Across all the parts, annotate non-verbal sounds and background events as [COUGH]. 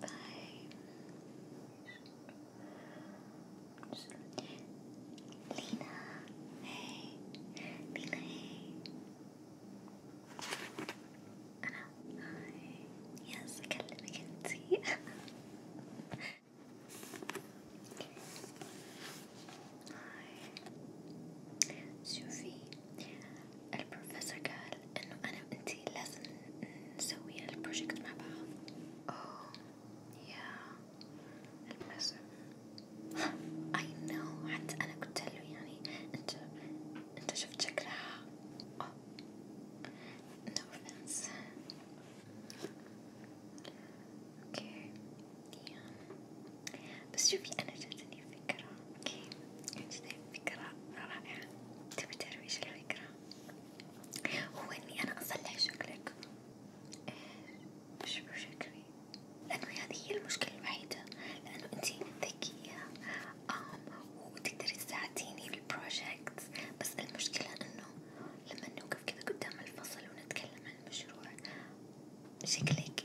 Bye. Lena, hey. Lena, hey. hi. [LAUGHS] Yes, can, I can [LAUGHS] Hi, Sophie. البروفيسور قال انه انا وانتي لازم نسوي البروجكت مع بعض اوه يا البروفيسور I know حتى انا قلت له يعني انت انت شفت شكلها oh. no offense okay yeah بس شوفي أنا جاتني فكرة أوكي جاتني فكرة رائعة تبي تعرفي إيش الفكرة؟ هو إني أنا أصلح شكلك إيش شكلي؟ لأنه هذه هي المشكلة الوحيدة لأنه أنتي ذكية وتقدري تساعديني بالبروجكت بس المشكلة إنه لما نوقف كذا قدام الفصل ونتكلم عن المشروع شكلك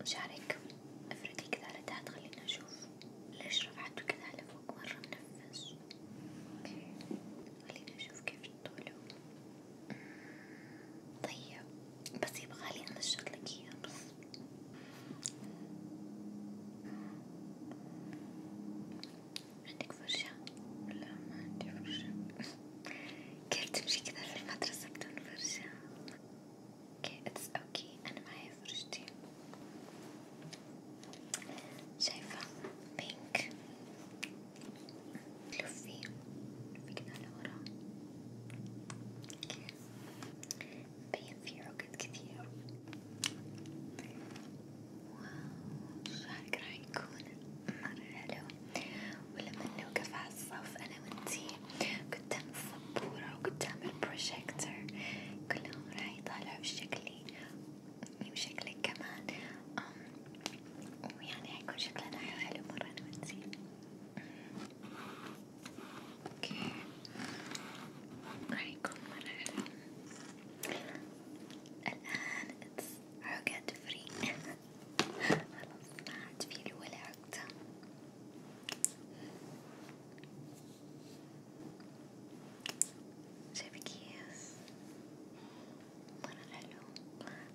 وشعرك افردي كذا على تحت خلينا نشوف ليش رفعته كذا على فوق مرة منفس خلينا نشوف كيف طوله طيب بس يبغالي انشط لك اياه بس عندك فرشة؟ لا ما عندي فرشة كيف تمشي كذا في المدرسة بدون فرشة؟ اوكي اتس اوكي انا معي فرشتي شايفة بينك لفي لفي كذا لورا مبين فيه عقد كثير شعرك راح يكون مرة حلو ولما نوقف على الصف أنا وأنتي قدام السبورة وقدام البروجيكتور كلهم راح يطالعوا بشكلي وشكلك كمان ويعني حيكون شكلنا حلو مرة أنا وأنتي اوكي راح يكون مرة حلو الآن it's عقد free [LAUGHS] خلاص ما عاد فيلي ولا عقدة شايفة كيف مرة حلو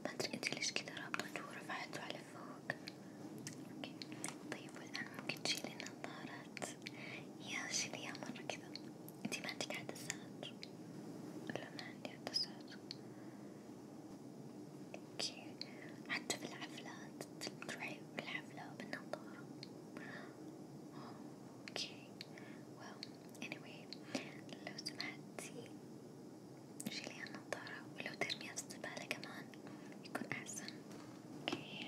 ما أدري انتي ليش كذا رابطته ورفعته على فوق اوكي طيب والآن ممكن تشيلي نظارات يا شيليها مرة كذا انتي ما عندك عدسات لا ما عندي عدسات اوكي حتى في الحفلات تروحي بالحفلة بالنظارة اوكي واو anyway لو سمحتي شيلي النظارة ولو ترميها في الزبالة كمان يكون أحسن اوكي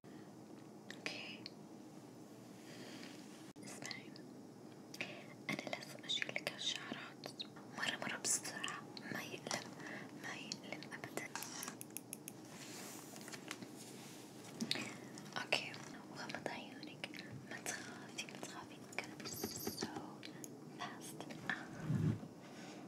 اوكي اسمعي انا لازم اشيل لك هالشعرات مرة مرة بسرعة ما يألم ما يألم ابدا اوكي وغمض عيونك ما تخافي ما تخافي it's gonna be so fast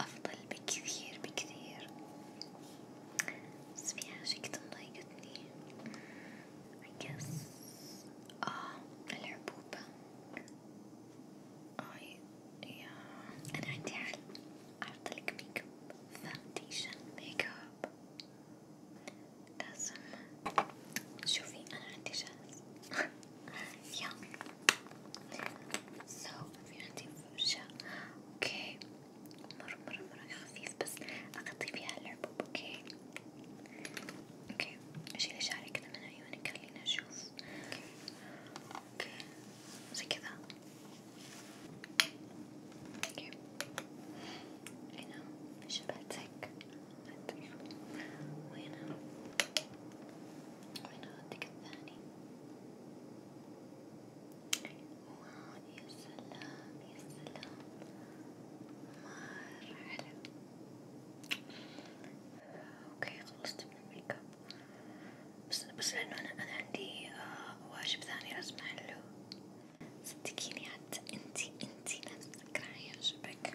أفضل بكثير بكثير بس في حاجة كتير مضايقتني I guess آه العبوبة آي آه، يا أنا عندي حل أحطلك ميك اب فاونديشن ميك اب لازم شوفي أنا عندي جاهز [LAUGHS] yeah so في عندي فرشة اوكي مرة مرة مرة خفيف بس اغطي فيها الحبوب اوكي اوكي اشيلي شعري كذا من عيونك خليني اشوف اوكي اوكي زي كذا اوكي هنا شبهتك وهنا وين ردك الثاني؟ واو يا سلام يا سلام مرة حلو اوكي خلصت من الميك اب بس بس لأنه أنا أنا عندي آه واجب ثاني لازم أحله صدقيني حتى انتي انتي لازم تقرعي عجبك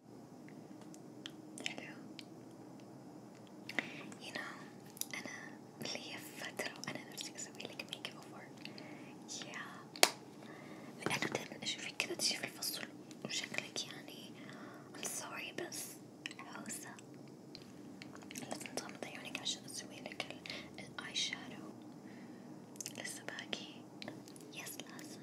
حلو you know أنا لي فترة وأنا نفسي أسوي لك ميك أوفر yeah لأنه دايما أشوفك كذا تجي في الفصل وشكلك يعني I'm sorry بس عوزة لازم تغمضي عيونك عشان أسوي لك الآي شادو لسه باقي يس لازم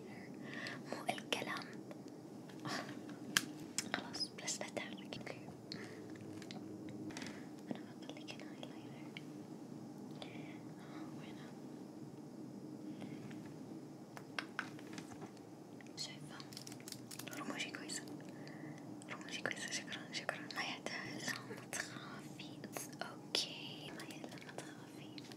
later مو الكلام خلاص بس بتعلك اوكي انا بخليك هنا هايلايتر وهنا شايفة رموشي كويسة رموشي كويسة شكرا شكرا ما يحتاج لا ما تخافي اوكي ما يلا ما تخافي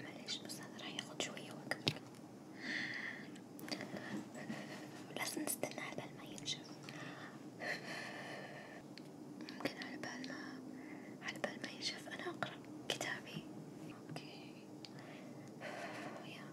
معليش بس هذا راح ياخد شوية وقت لازم نستنى على بال ما ينشف ممكن على بال ما على بال ما ينشف أنا أقرأ كتابي أوكي يا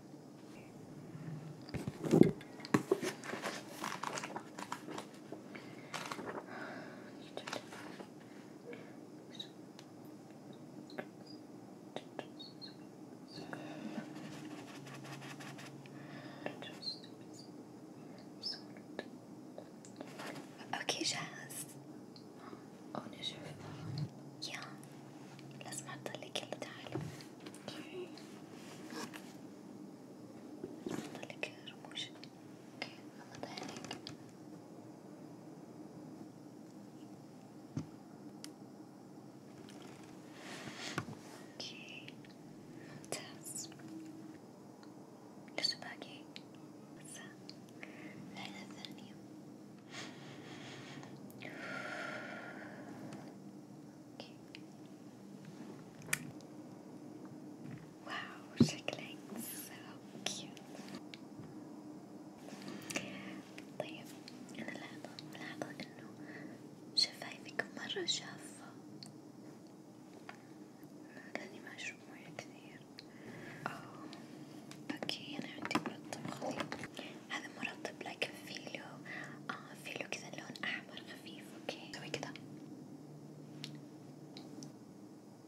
اوكي جاهز ونشوف يا لازم اطلق يلا تعالي اوكي اطلق رموش اوكي غمض عينيك Okay, test. Just a buggy. What's that? I love that Okay. Wow, she clings so cute. طيب أنا لاحظة لاحظة إنه شفايفك مرة شافة لأني ما أشرب موية كثير أوكي أنا عندي مرطب خفيف هذا مرطب لكن فيه له آه فيه له كذا لون أحمر خفيف أوكي سوي كذا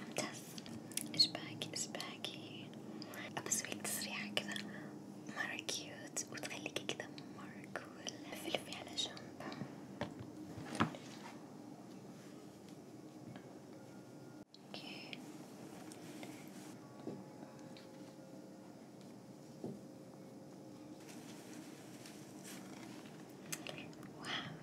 ممتاز ايش باقي ايش باقي بسوي تسريحة كذا مرة كيوت وتخليكي كذا مرة كول لفلفي على جنب اوكي واو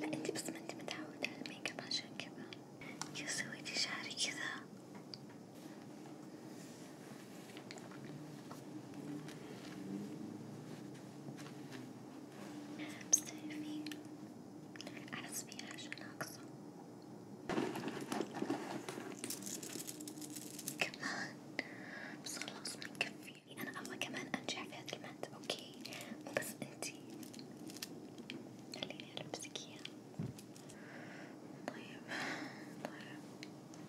لا انتي بس ما انتي متعودة على الميك اب عشان كذا يا سويتي شعري كذا بس تعرفي أحس في حاجة ناقصة كمان بس خلاص ما يكفي يعني أنا أبغى كمان أنجح في هذا المادة أوكي مو بس أنتي خليني ألبسك إياه طيب طيب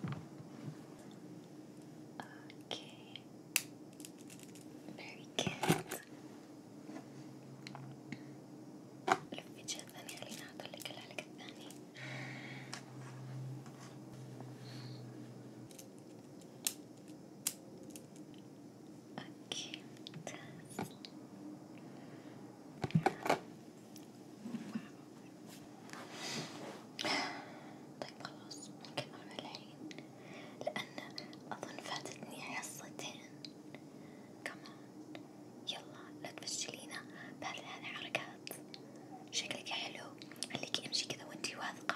أوكي very good لفي جهة ثانية خليني أعطلك العلق الثاني اوكي ممتاز طيب خلاص نكمل الحين لأن أظن فاتتني حصتين كمان يلا لا تفشلينا بهذه الحركات شكلك حلو خليكي امشي كذا وانتي واثقة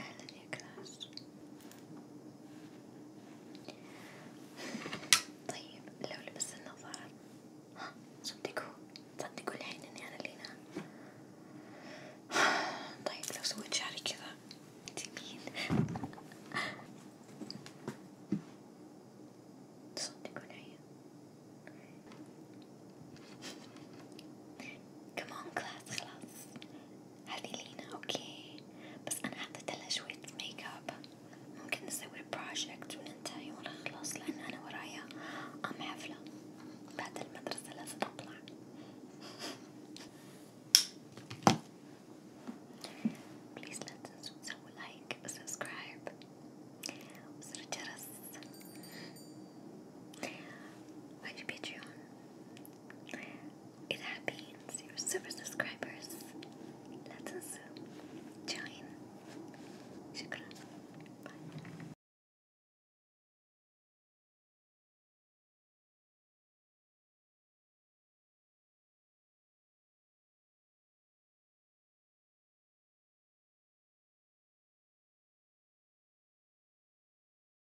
أهلا يا كراش طيب لو لبست النظارة ها صدقوا صدقوا الحين إني أنا اللي نام طيب لو سويت شعري كذا جميل تصدقوا الحين كمان كلاس خلاص هذي لينا اوكي بس انا حطيتلها شوية ميك اب ممكن نسوي بروجكت وننتهي ونخلص لان انا ورايا ام حفلة بعد المدرسة لازم اطلع بليز لا تنسوا تسووا لايك وسبسكرايب وزر الجرس وفي باتريون It happens, super subscribers. Let us join. Bye.